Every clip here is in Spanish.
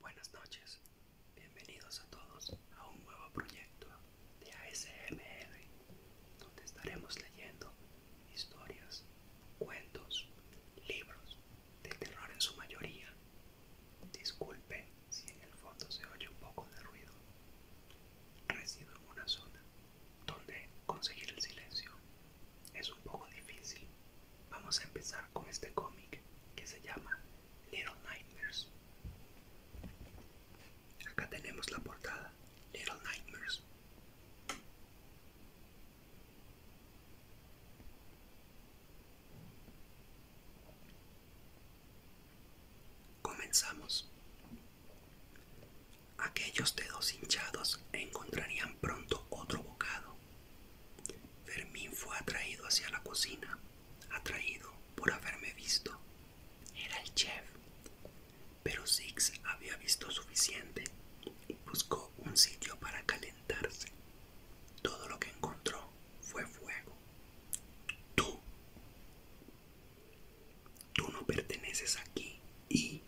Buenas noches, bienvenidos a todos a un nuevo proyecto de ASMR, donde estaremos leyendo historias, cuentos, libros de terror en su mayoría. Disculpe si en el fondo se oye un poco de ruido. Resido en una zona donde conseguir el silencio es un poco difícil. Vamos a empezar con este cómic que se llama Little Nightmares. Acá tenemos la portada Little Nightmares. Comenzamos. Aquellos dedos hinchados encontrarían pronto otro bocado. Fermín fue atraído hacia la cocina, atraído por haberme visto. Era el chef. Pero Six había visto suficiente. Buscó un sitio para calentarse. Todo lo que encontró fue fuego. Tú. Tú no perteneces aquí y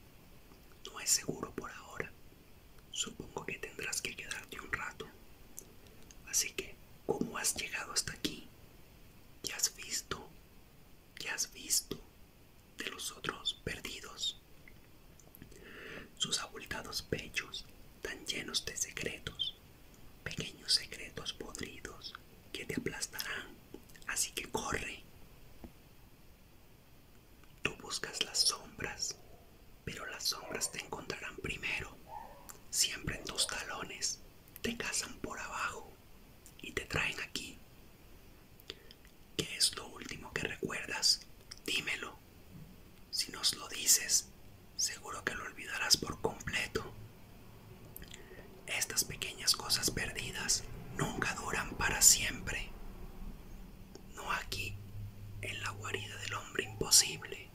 no es seguro por ahora. Supongo que tendrás que quedarte un rato. Así que, ¿cómo has llegado hasta aquí? ¿Ya has visto? ¿Qué has visto de los otros perdidos? Sus abultados pechos, tan llenos de secretos, pequeños secretos podridos que te aplastarán, así que corre. Tú buscas las sombras, pero las sombras te encontrarán primero, siempre en tus talones, te cazan por abajo y te traen aquí. ¿Qué es lo último que recuerdas? Dímelo. Si nos lo dices, seguro que lo olvidarás por completo. Estas pequeñas cosas perdidas nunca duran para siempre no aquí, en la guarida del hombre imposible.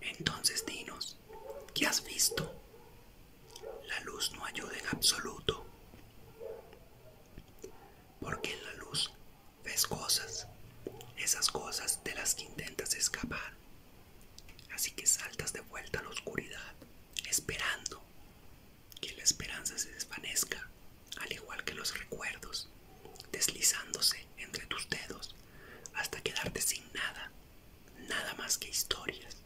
Entonces dinos, ¿qué has visto? La luz no ayuda en absoluto, porque en la luz ves cosas, esas cosas de las que intentas escapar. Así que saltas de vuelta a la oscuridad, esperando, que la esperanza se desvanezca, al igual que los recuerdos, deslizándose entre tus dedos hasta quedarte sin nada, nada más que historias.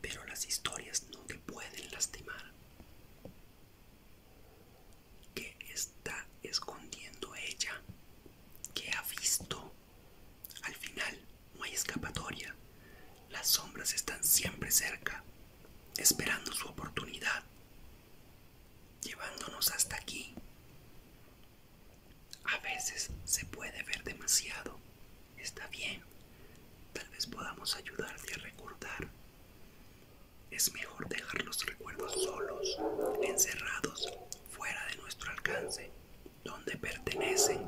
Pero las historias no te pueden lastimar. ¿Qué está escondiendo ella? ¿Qué ha visto? Al final no hay escapatoria. Las sombras están siempre cerca, esperando su oportunidad, llevándonos hasta aquí. A veces se puede ver demasiado. Está bien. Tal vez podamos ayudarte a recordar. Es mejor dejar los recuerdos solos, encerrados, fuera de nuestro alcance donde pertenece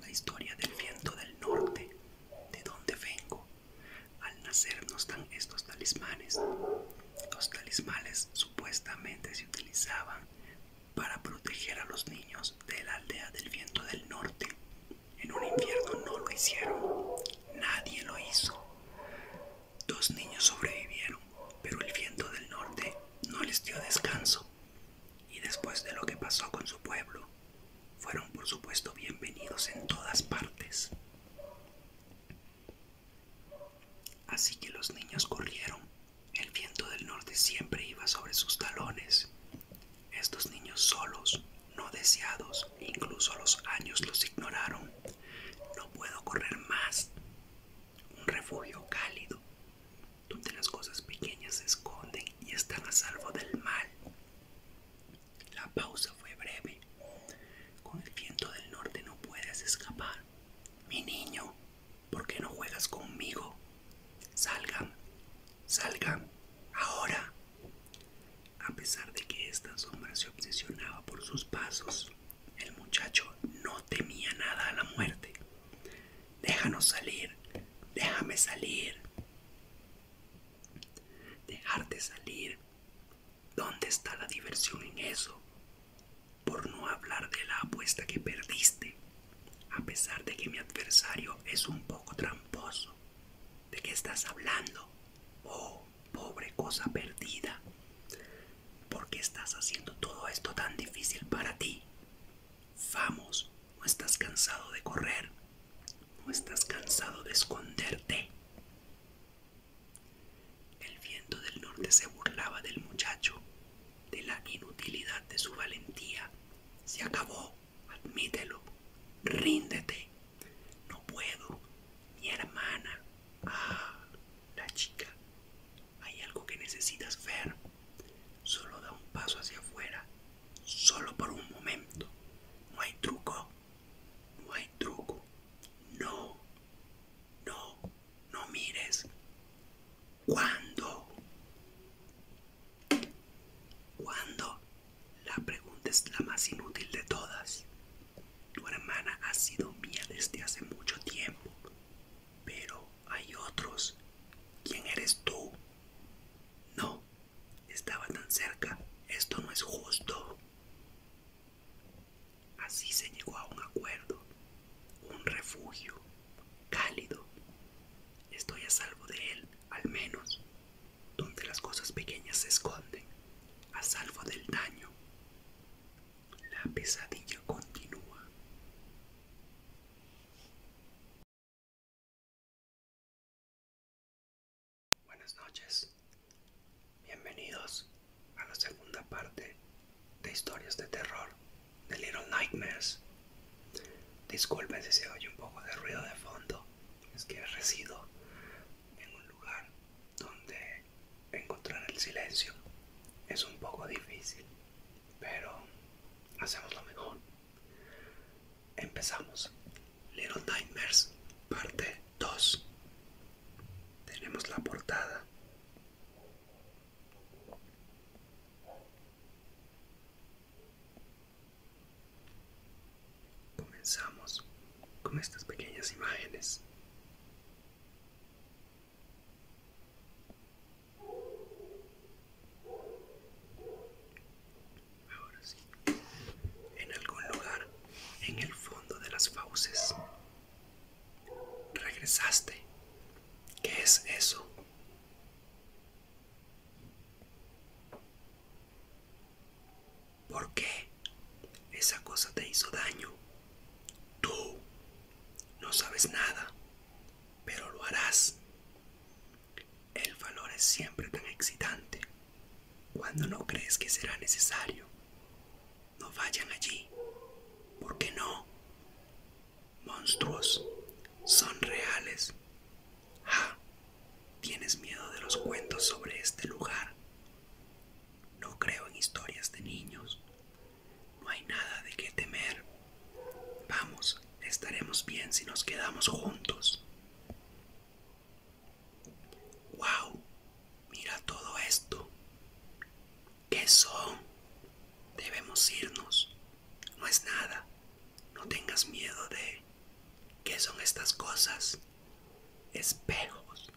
la historia del viento del norte, de dónde vengo. Al nacer nos dan estos talismanes. Los talismanes supuestamente se utilizaban para proteger a los niños de la aldea del viento del norte. En un invierno no lo hicieron, nadie lo hizo. Dos niños sobrevivieron, pero el viento del norte no les dio descanso y después de lo que pasó con su pueblo, fueron por supuesto bienvenidos en todas partes. Así que los niños corrieron. El viento del norte siempre iba sobre sus talones. Estos niños solos, no deseados, incluso los años los ignoraron. No puedo correr más. Un refugio cálido, donde las cosas pequeñas se esconden y están a salvo del mal. La pausa fue breve. Con el viento del norte no puedes escapar. Mi niño, ¿por qué no juegas conmigo? Salgan, salgan, ahora. A pesar de que esta sombra se obsesionaba por sus pasos, el muchacho no temía nada a la muerte. Déjanos salir, déjame salir. Dejarte salir. ¿Dónde está la diversión en eso? Por no hablar de la apuesta que perdiste, a pesar de que mi adversario es un poco tramposo. ¿De qué estás hablando? Oh, pobre cosa perdida. ¿Por qué estás haciendo todo esto tan difícil para ti? Vamos, no estás cansado de correr, no estás cansado de esconderte. El viento del norte se burlaba del muchacho, de la inutilidad de su valentía. Se acabó, admítelo, ríndete. No puedo, mi hermana. Ah, la chica, hay algo que necesitas ver. Solo da un paso hacia afuera. Solo por un momento. No hay truco. No hay truco. No. No. No mires. ¿Cuándo? ¿Cuándo? La pregunta es la más inútil de todas. Tu hermana ha sido mía desde hace mucho tiempo, pero hay otros. ¿Quién eres tú? No, estaba tan cerca. Esto no es justo. Así se llegó a un acuerdo, un refugio, cálido. Estoy a salvo de él, al menos, donde las cosas pequeñas se esconden, a salvo del daño. La pesadilla continúa. Buenas noches, bienvenidos a la segunda parte de historias de terror de Little Nightmares. Disculpen si se oye un poco de ruido de fondo, es que resido en un lugar donde encontrar el silencio es un poco difícil pero hacemos lo mejor. Empezamos. Little Nightmares, parte 2. Tenemos la portada. Comenzamos con estas pequeñas imágenes Ahora sí. En algún lugar, en el fondo de las fauces. Regresaste. ¿Qué es eso? ¿Por qué? Esa cosa te hizo daño. Tú no sabes nada pero lo harás. El valor es siempre tan excitante cuando no crees que será necesario. No vayan allí. ¿Por qué no? Monstruos son reales. ¡Ah! tienes miedo de los cuentos sobre este lugar. No creo en historias de niños. No hay nada de qué temer. Vamos, estaremos bien si nos quedamos juntos. ¡Wow! Mira todo esto. ¿Qué son? Debemos irnos. No es nada. No tengas miedo de... ¿Qué son estas cosas? Espejos.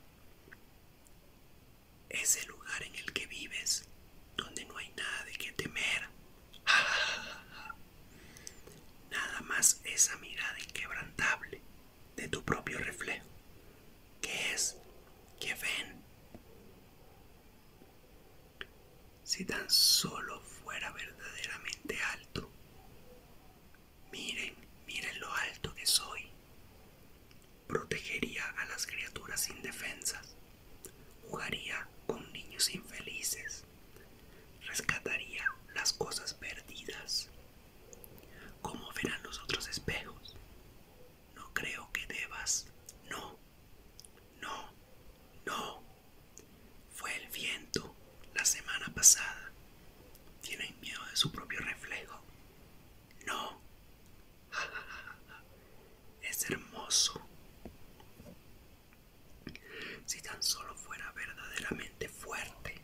Es el lugar en el que vives donde no hay nada de qué temer. Nada más esa mirada inquebrantable de tu propio reflejo. ¿Qué es? ¿Qué ven? Si tan solo fuera verdaderamente alto. Miren, miren lo alto que soy. Protegería a las criaturas indefensas. Jugaría con niños infelices. Rescataría las cosas perdidas. ¿Cómo verán los otros espejos? No creo que debas. No. No. No. Fue el viento la semana pasada. Tienen miedo de su propio reflejo. No. Es hermoso. Si tan solo fuera verdaderamente fuerte,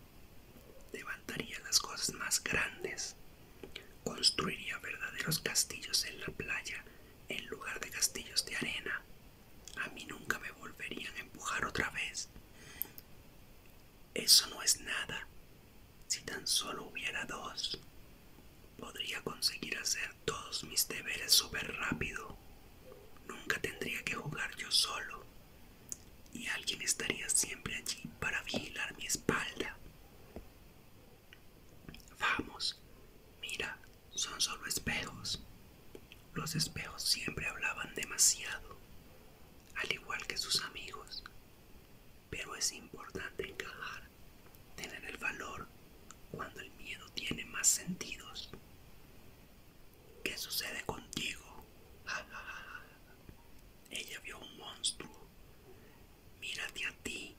levantaría las cosas más grandes. Construiría verdaderos castillos en la playa en lugar de castillos de arena. A mí nunca me volverían a empujar otra vez. Eso no es nada. Si tan solo hubiera dos. Podría conseguir hacer todos mis deberes súper rápido. Nunca tendría que jugar yo solo. Y alguien estaría siempre allí para vigilar mi espalda. Vamos, mira, son solo espejos. Los espejos siempre hablaban demasiado, al igual que sus amigos pero es importante encajar, tener el valor cuando el miedo tiene más sentidos. ¿Qué sucede contigo? Ella vio un monstruo. Mírate a ti.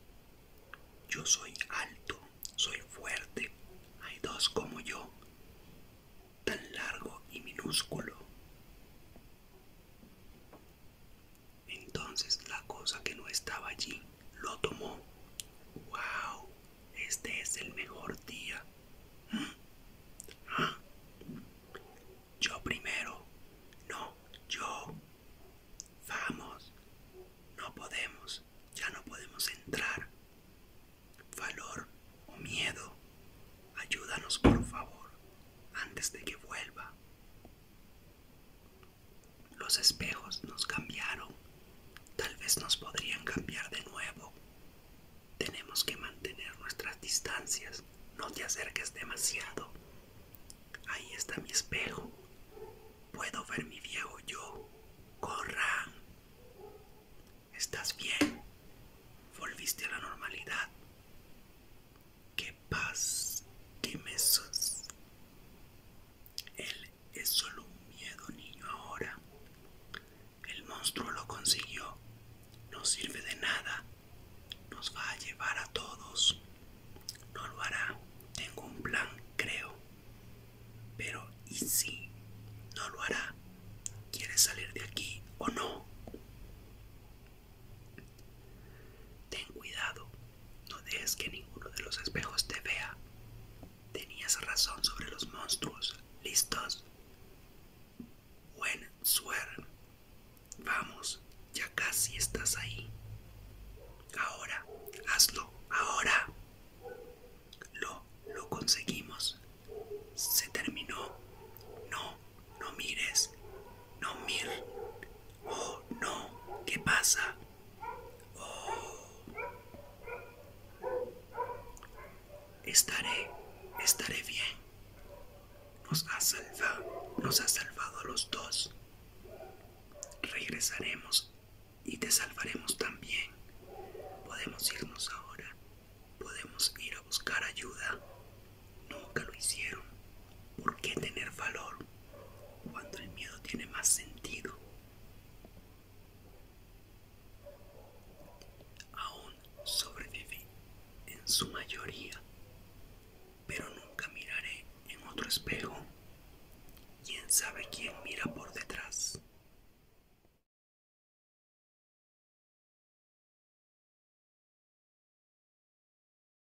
Yo soy alto, soy fuerte. Hay dos como yo, tan largo y minúsculo. Entonces la cosa que no estaba allí lo tomó. ¡Wow! Este es el mejor día. Yo primero. No, yo. Vamos. No podemos. Ya no podemos entrar. Valor o miedo. Ayúdanos por favor antes de que vuelva. Los espejos nos cambiaron. Tal vez nos podrían cambiar de nuevo. Tenemos que mantener nuestras distancias. No te acerques demasiado. Ahí está mi espejo. Puedo ver mi viejo yo. Corran. ¿Estás bien? Volviste a la normalidad. ¿Qué paz ¡Qué mesas! Él es solo un miedo, niño, ahora. El monstruo lo consiguió. No sirve de nada. Nos va a llevar a todos. No lo hará. Tengo un plan, creo. Pero, ¿y si? No lo hará. ¿Quieres salir de aquí o no? Ten cuidado, no dejes que ninguno de los espejos te vea. Tenías razón sobre los monstruos. ¿Listos? Buen suerte. Vamos, ya casi estás ahí. Ahora, hazlo, ahora. Lo, lo conseguimos. Se terminó. No, no mires. No, Mir. Oh, no. ¿Qué pasa? Oh. Estaré, estaré bien. Nos ha salvado, nos ha salvado a los dos. Regresaremos y te salvaremos también. Podemos irnos ahora. Podemos ir a buscar ayuda. Nunca lo hicieron. ¿Por qué tener valor cuando el miedo tiene más sentido? Aún sobrevive en su mayoría, pero nunca miraré en otro espejo. ¿Quién sabe quién mira por detrás?